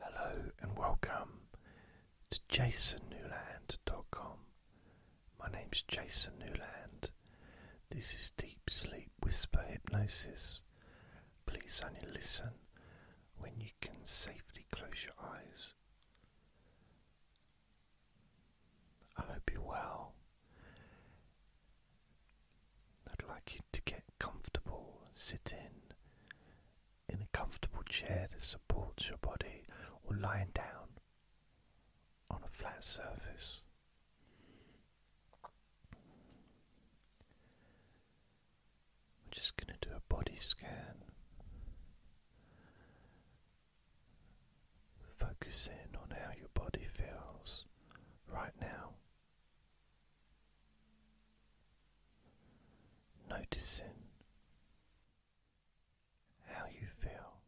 Hello and welcome to jasonnewland.com. My name's Jason Newland. This is Deep Sleep Whisper Hypnosis. Please only listen when you can safely close your eyes. I hope you're well. I'd like you to get comfortable, sit in, in a comfortable chair that supports your body or lying down on a flat surface. We're just going to do a body scan, focusing on how your body feels right now. Noticing how you feel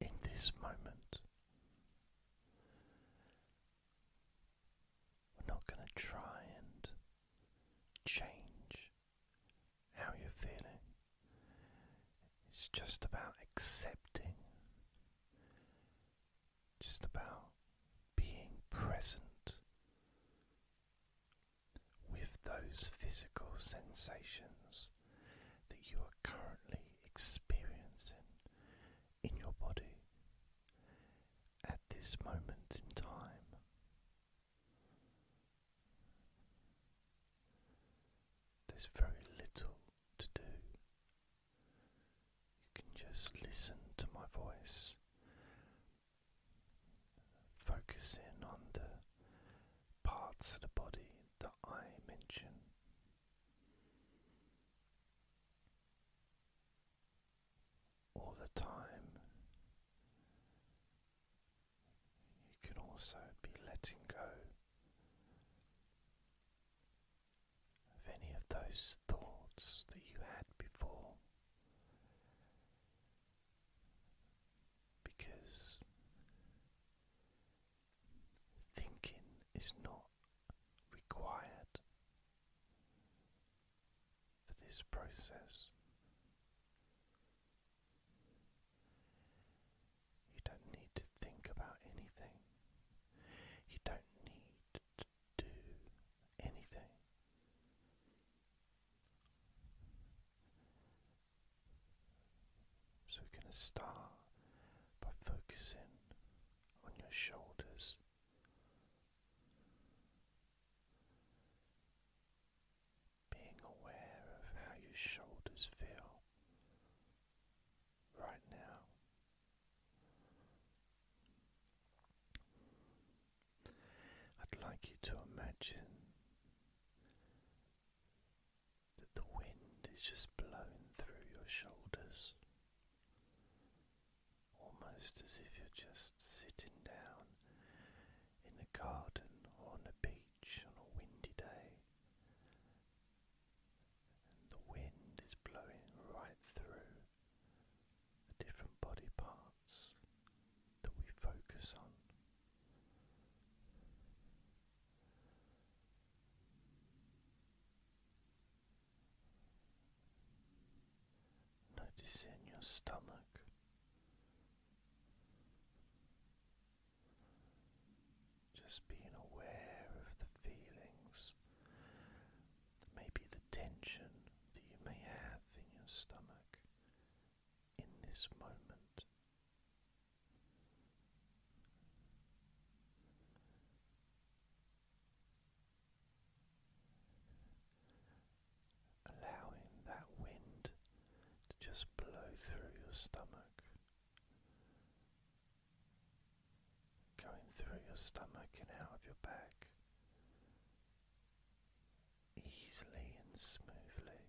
in this moment. We're not going to try and change how you're feeling, it's just about accepting just about being present with those physical sensations that you are currently experiencing in your body at this moment in time. There's very little to do you can just listen to my voice, focus in on the parts of the body that I mention. All the time, you can also be letting go of any of those thoughts that you had before. Because thinking is not required for this process. You don't need to think about anything. You don't need do anything. So, we're going to start by focusing on your shoulders. Being aware of how your shoulders feel right now, I'd like you to imagine that the wind is just blowing through your shoulders, almost as if you're just sitting down in a garden or on a beach on a windy day. And the wind is blowing right through the different body parts that we focus on. Noticing your stomach, just being aware of the feelings maybe the tension that you may have in your stomach in this moment. Allowing that wind to just blow through your stomach going through your stomach and out of your back easily and smoothly.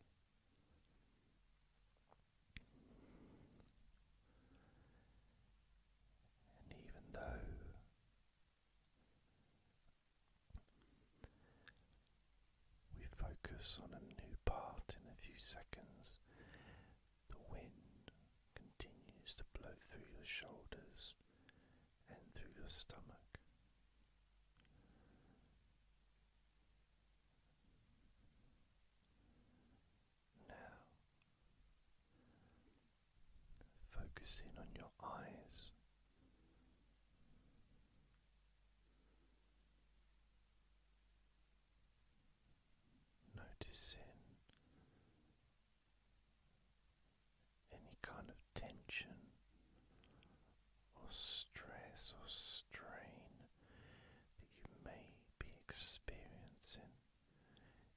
And even though we focus on a new part in a few seconds, the wind continues to blow through your shoulders and through your stomach. Now, focusing on your eyes. Noticing any kind of tension or stress or strain that you may be experiencing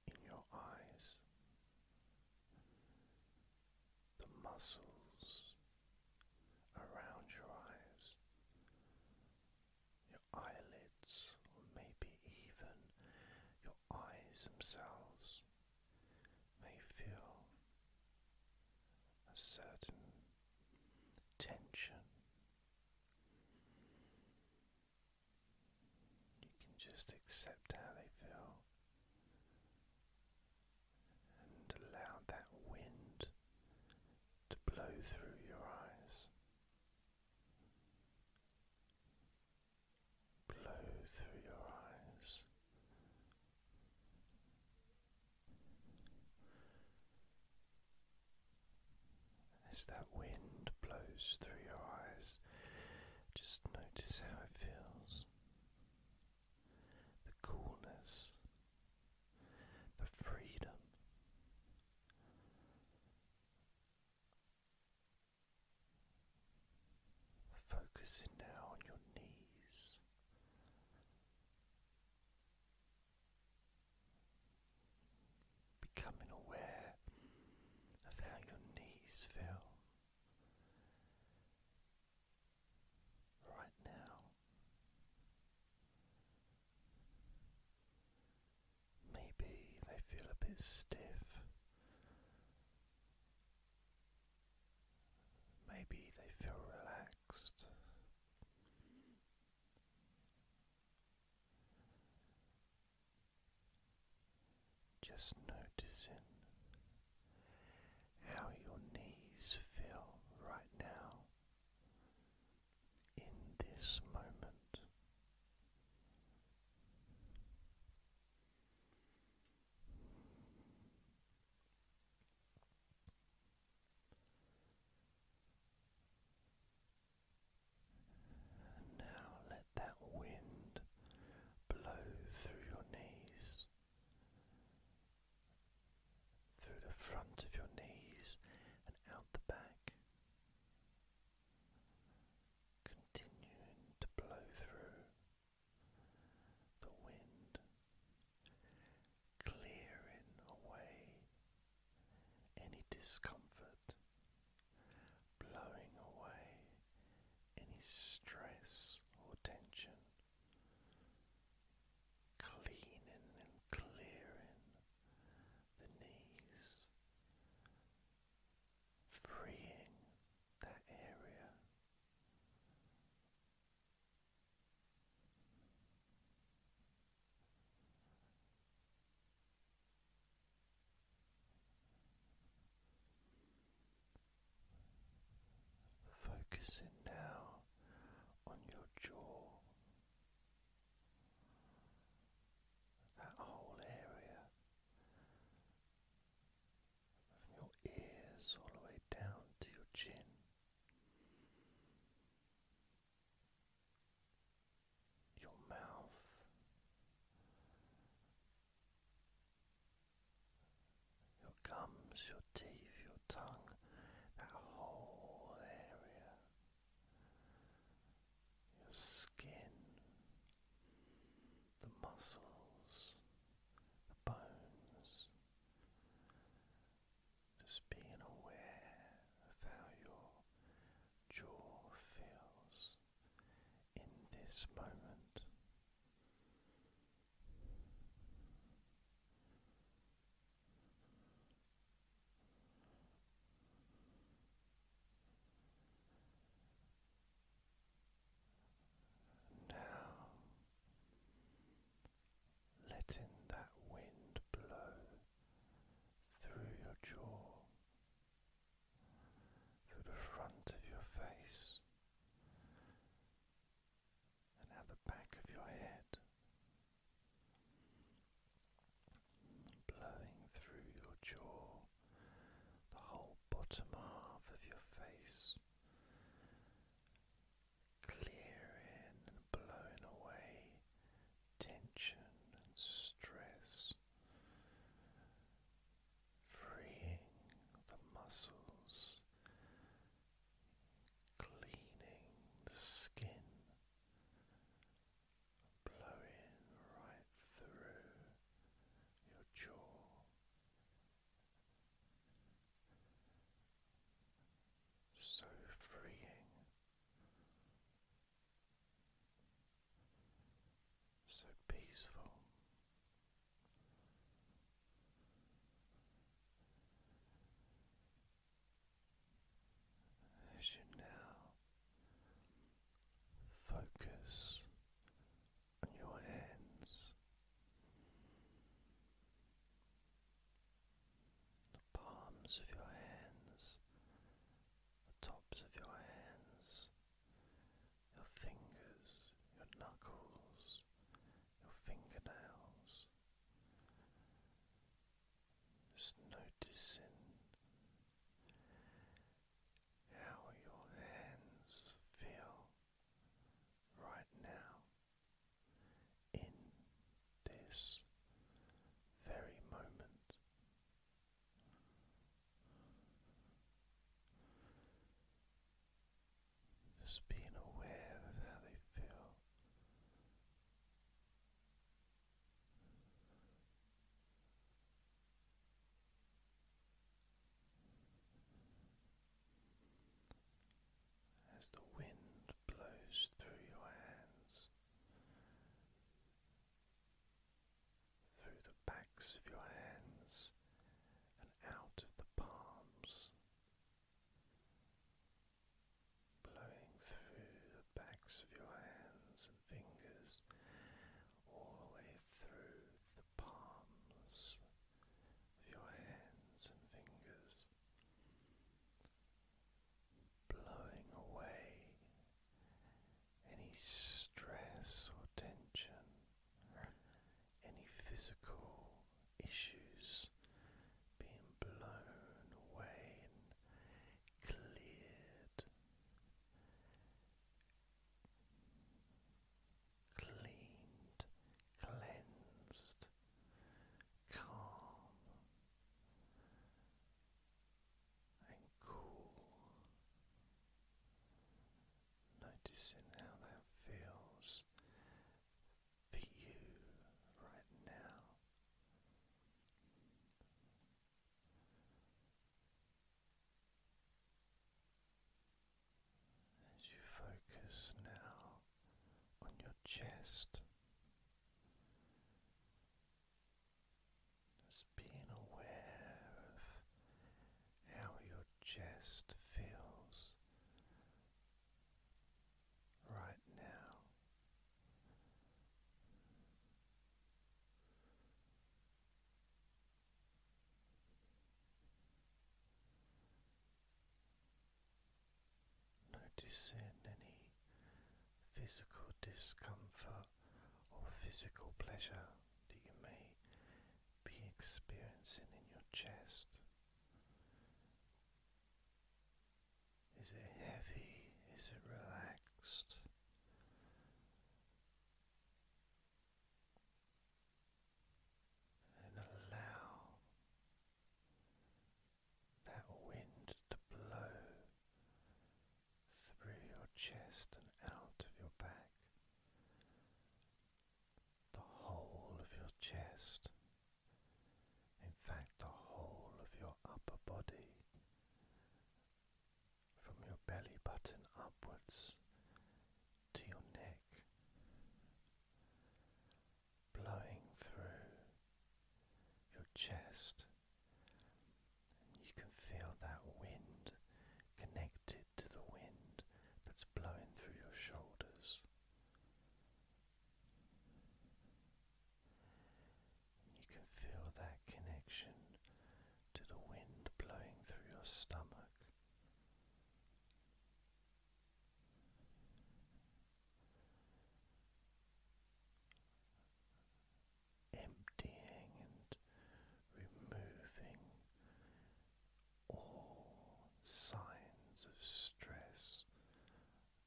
in your eyes. The muscles around your eyes, your eyelids, or maybe even your eyes themselves may feel a certain tension. You can just accept how they feel and allow that wind to blow through your eyes blow through your eyes. As that wind blows through your eyes, just notice how it feels the coolness, the freedom, Focusing now on your knees, becoming aware of how your knees feel right now. Maybe they feel a bit stiff. Maybe they feel relaxed. Just noticing how your knees feel right now in this moment. And now let that wind blow through your knees, through the front of your knees and out the back continuing to blow through the wind, clearing away any discomfort, blowing away any stress or tension, cleaning and clearing the knees, freeing that area. Focusing now on your jaw, that whole area from your ears all the way down to your chin. Your mouth your gums, your teeth, your tongue, that whole area your skin, the muscles, the bones. Just being aware of how your jaw feels in this moment. Now, letting that wind blow through your jaw, through the front of your face, and out the back of your head blowing through your jaw, the whole bottom half of your face, clearing and blowing away tension and stress, freeing the muscles, cleaning the skin blowing right through your jaw. So freeing, so peaceful. As you now Focus on your hands, the palms of your hands, the tops of your hands, your fingers, your knuckles, your fingernails. Just noticing how your hands feel right now in this very moment. Just being aware of how they feel as the wind blows through your hands, through the backs of your hands and out of the palms. Blowing through the backs of your hands and fingers, all the way through the palms of your hands and fingers, blowing away any stress or tension, any physical issues being blown away and cleared cleaned, cleansed, calm and cool. Noticing how that feels for you right now. As you focus now on your chest, just being aware of how your chest feels right now. Noticing any physical discomfort or physical pleasure that you may be experiencing in your chest. Is it heavy? Is it relaxed? and allow that wind to blow through your chest and out of your back, the whole of your chest, in fact, the whole of your upper body from your belly button upwards to your neck, blowing through your chest. And you can feel that wind connected to the wind that's blowing through your shoulders. You can feel that connection to the wind blowing through your stomach. Emptying and removing all signs of stress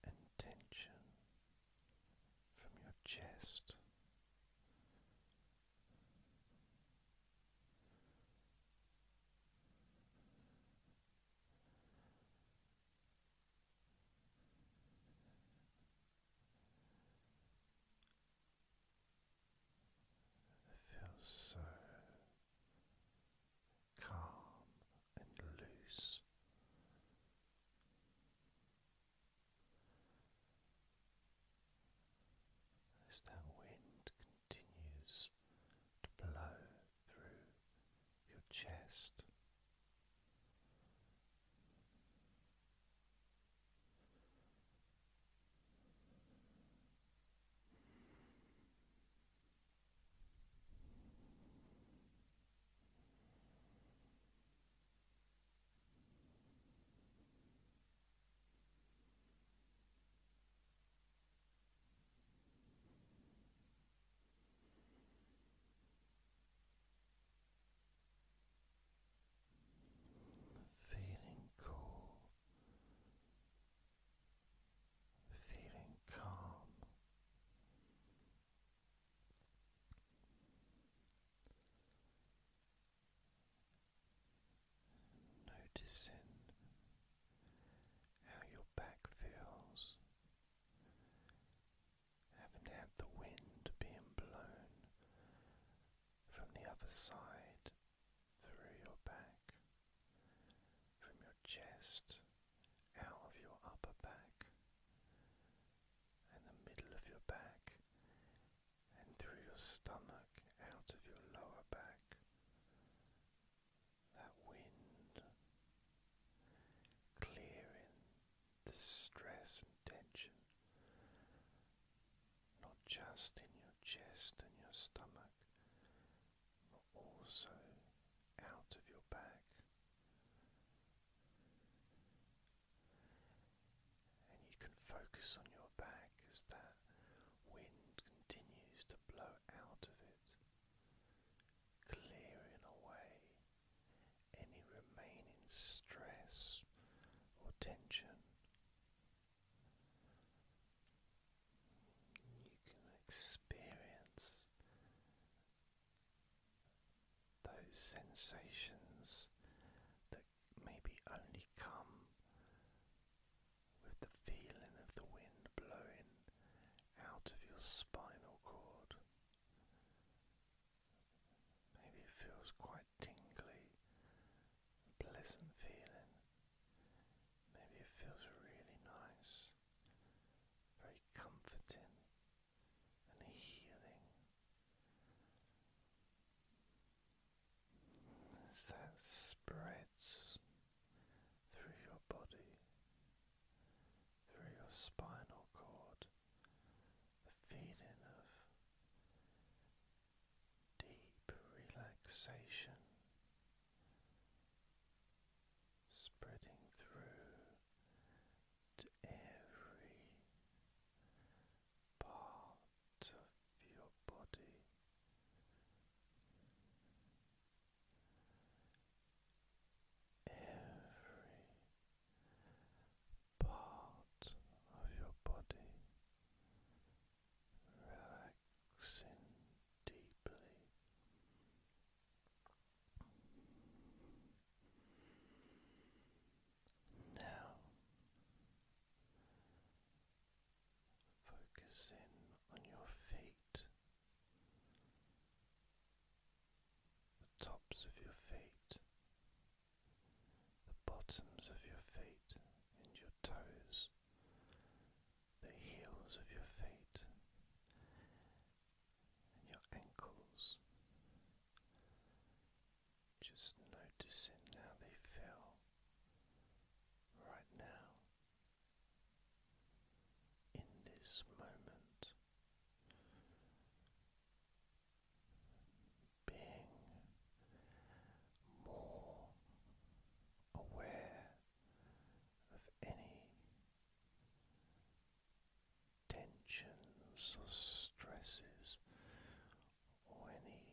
and tension from your chest. It feels so calm and loose as that wind continues to blow through your chest. Feeling cool, feeling calm, Noticing how your back feels, having had the wind being blown from the other side through your back, from your chest out of your upper back and the middle of your back and through your stomach out of your lower back. That wind clearing the stress and tension, not just in your chest and your stomach, but also out of your back and you can focus on your back as that wind continues to blow out of it, clearing away any remaining stress or tension. You can experience those sensations that maybe only come with the feeling of the wind blowing out of your spinal cord. Maybe it feels quite tingly, pleasant feeling. Maybe it feels really nice, very comforting, and healing. As that spreads through your body, through your spinal cord, the feeling of deep relaxation spreading through to every part of your body. Every part of your body relaxing deeply. Now, focus in on your feet, the tops of your feet, the bottoms of your feet, and your toes, the heels of your feet, and your ankles. Just noticing how they feel right now in this moment, being more aware of any tensions or stresses or any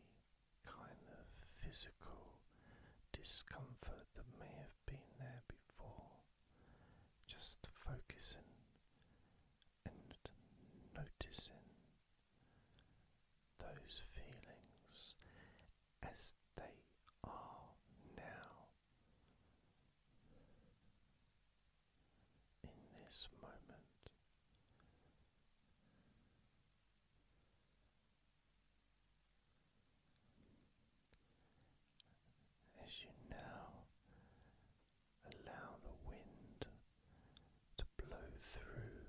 kind of physical discomfort that may have been there before. Just focusing and noticing those feelings as they are now in this moment. As you now allow the wind to blow through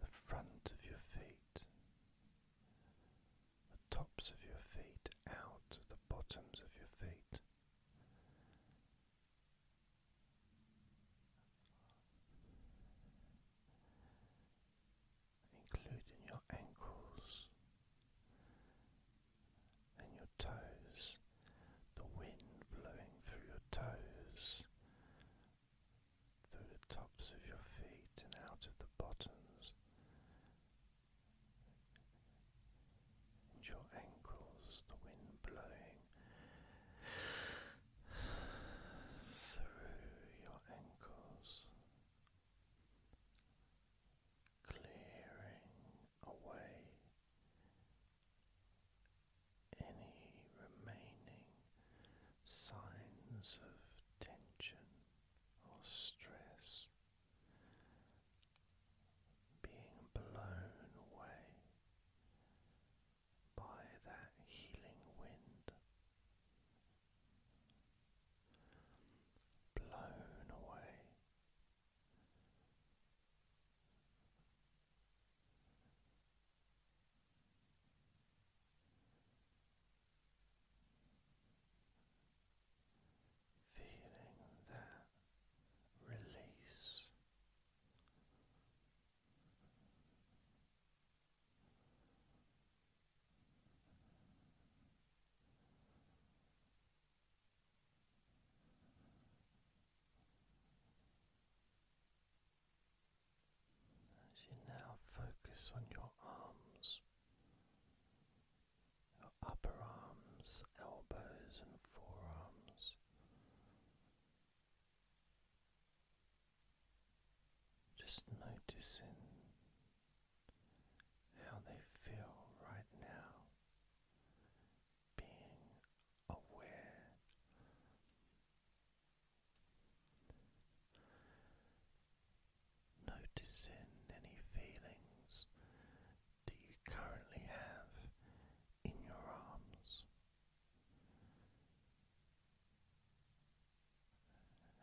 the front of your feet, the tops of your feet, out the bottoms of your feet, including your ankles and your toes, the wind blowing through your toes, through the tops of your feet and out of the bottoms your ankles, the wind blowing through your ankles, clearing away any remaining signs of tension or stress being blown away by that healing wind, blown away feeling that release. As you now focus on your arms, upper arms, elbows, and forearms. Just noticing how they feel right now, being aware. Noticing any feelings do you currently have in your arms?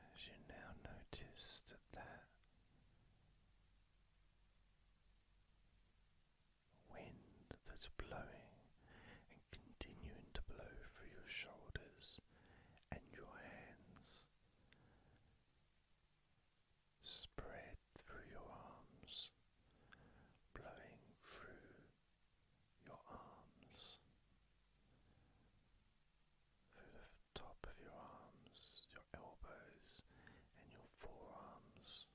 As you now notice that that wind that's blowing and continuing to blow through your shoulders and your hands spread through your arms, blowing through your arms, through the top of your arms, your elbows, and your forearms,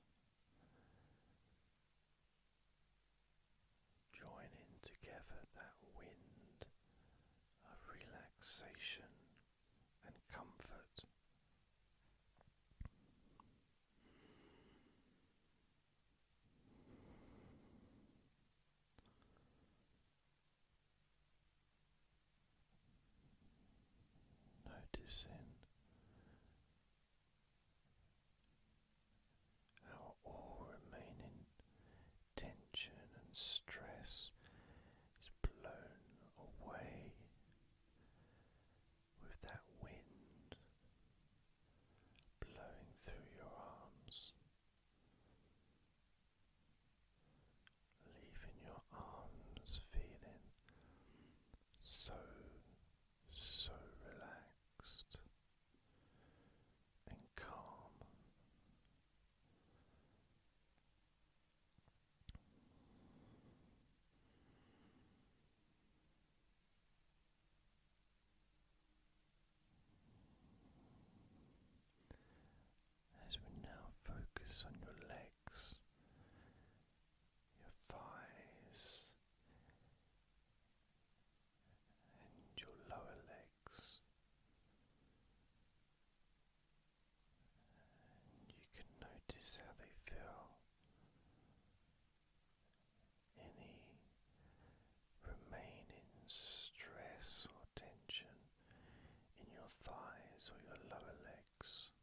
joining together that wind of relaxation and comfort. Noticing our all remaining tension and stress is blown away with that wind blowing through your arms, leaving your arms feeling so, so relaxed and calm. As we now focus on your legs, your thighs, and your lower legs, and you can notice how they feel. Any remaining stress or tension in your thighs or your lower legs,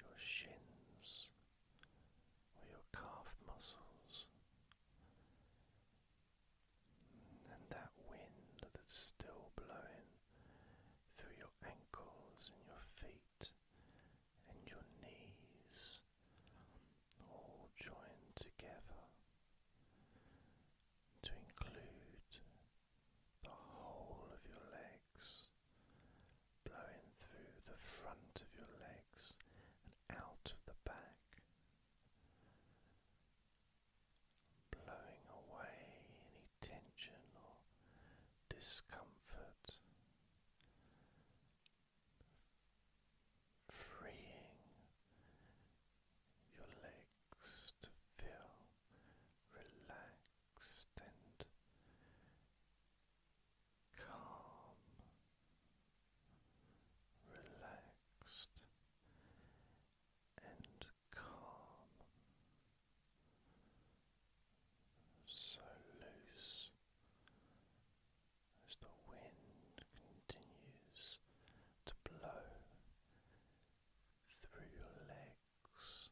your shins, or your calf muscles. And that wind that's still blowing through your ankles and your feet and your knees, all joined together to include the whole of your legs, blowing through the front of your legs and out of the back. Blowing away tension or discomfort, freeing your legs to feel relaxed and calm, relaxed and calm, so loose as the wind continues to blow through your legs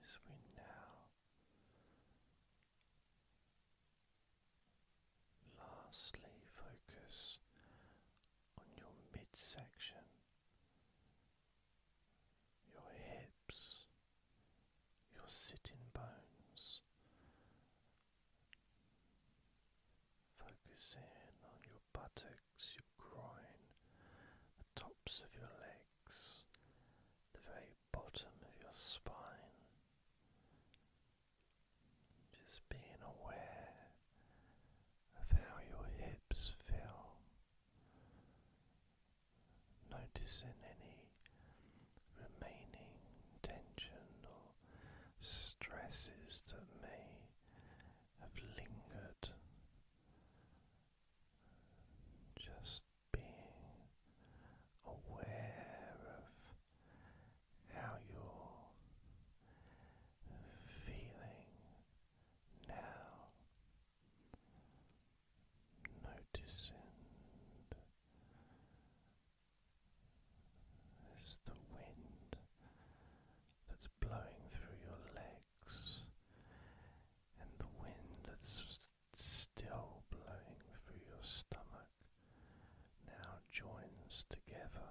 as we now lastly focus on your midsection, your hips, your sitting bones. Focus in on your buttocks, your groin, the tops of your legs, the very bottom of your spine. Just being aware of how your hips feel. Noticing any remaining tension or stresses that may have lingered, just being aware of how you're feeling now. Noticing as the wind that's blowing through your legs and the wind that's still blowing through your stomach now joins together.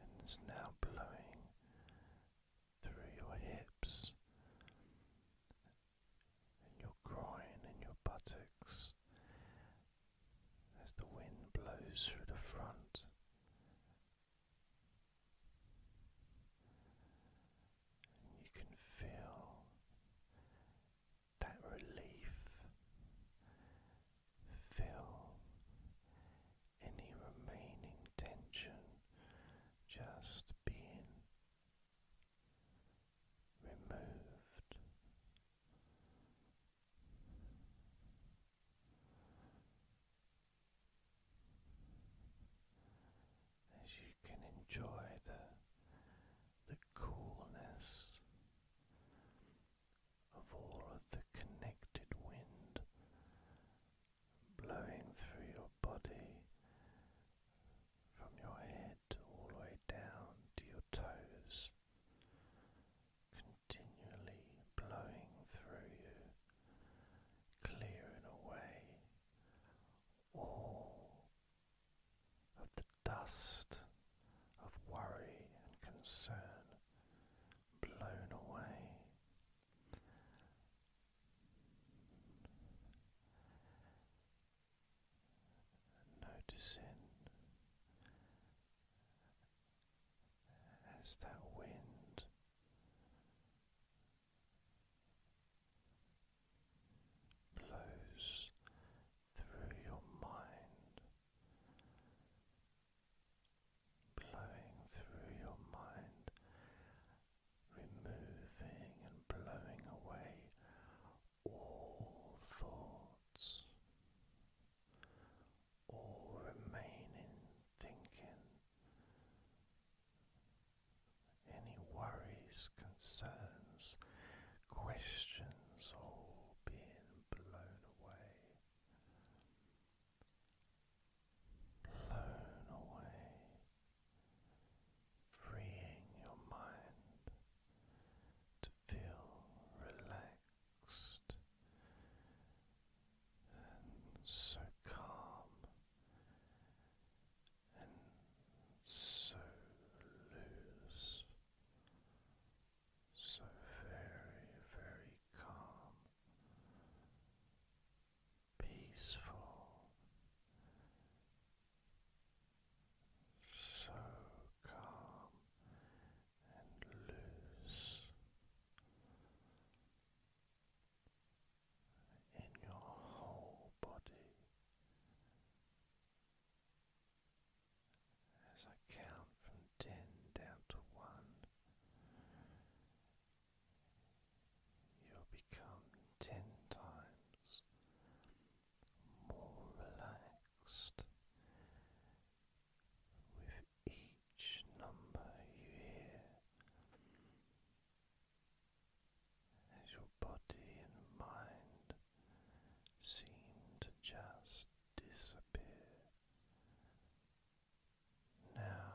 And it's now blowing through your hips and your groin and your buttocks as the wind blows through the front. you can feel that relief, feel any remaining tension just being removed as you can enjoy the the coolness of all of the connected wind blowing through your body from your head all the way down to your toes continually blowing through you, clearing away all of the dust of worry and concern blown away noticing as that wind blows through your mind, blowing through your mind, removing and blowing away all thoughts, all remaining thinking, any worries, concerns, questions, all being blown away. Blown away, freeing your mind to feel relaxed and so calm and so loose, so very, very calm, peaceful so calm and loose in your whole body. As I count from ten down to one, you'll become ten times more relaxed with each number you hear as your body and mind seem to just disappear. Now